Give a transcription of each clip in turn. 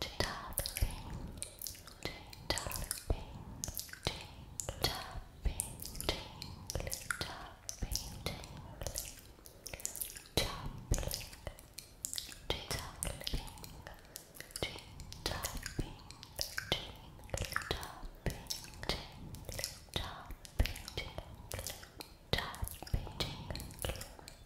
Tapping, tingling, tapping, tingling,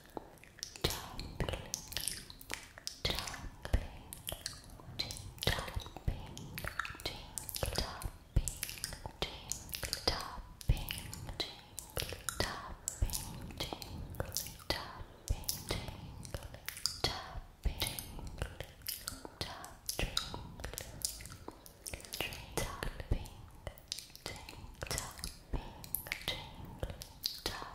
tapping, Tapping, tapping, tingling, tapping,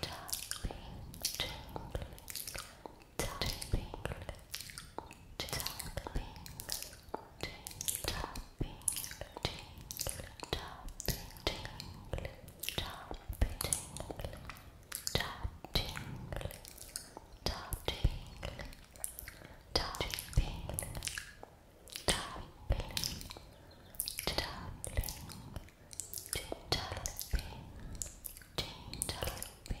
Toppling, toppling, toppling, Tapping, drink, tapping, drink,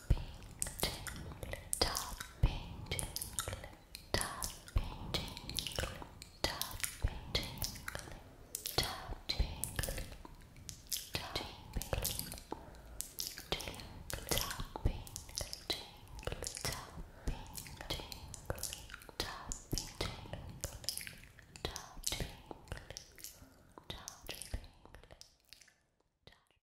jingle, tapping jingle, tapping jingle, tapping jingle, tapping jingle, tapping jingle, tapping jingle, tapping jingle, tapping jingle, tapping jingle, tapping.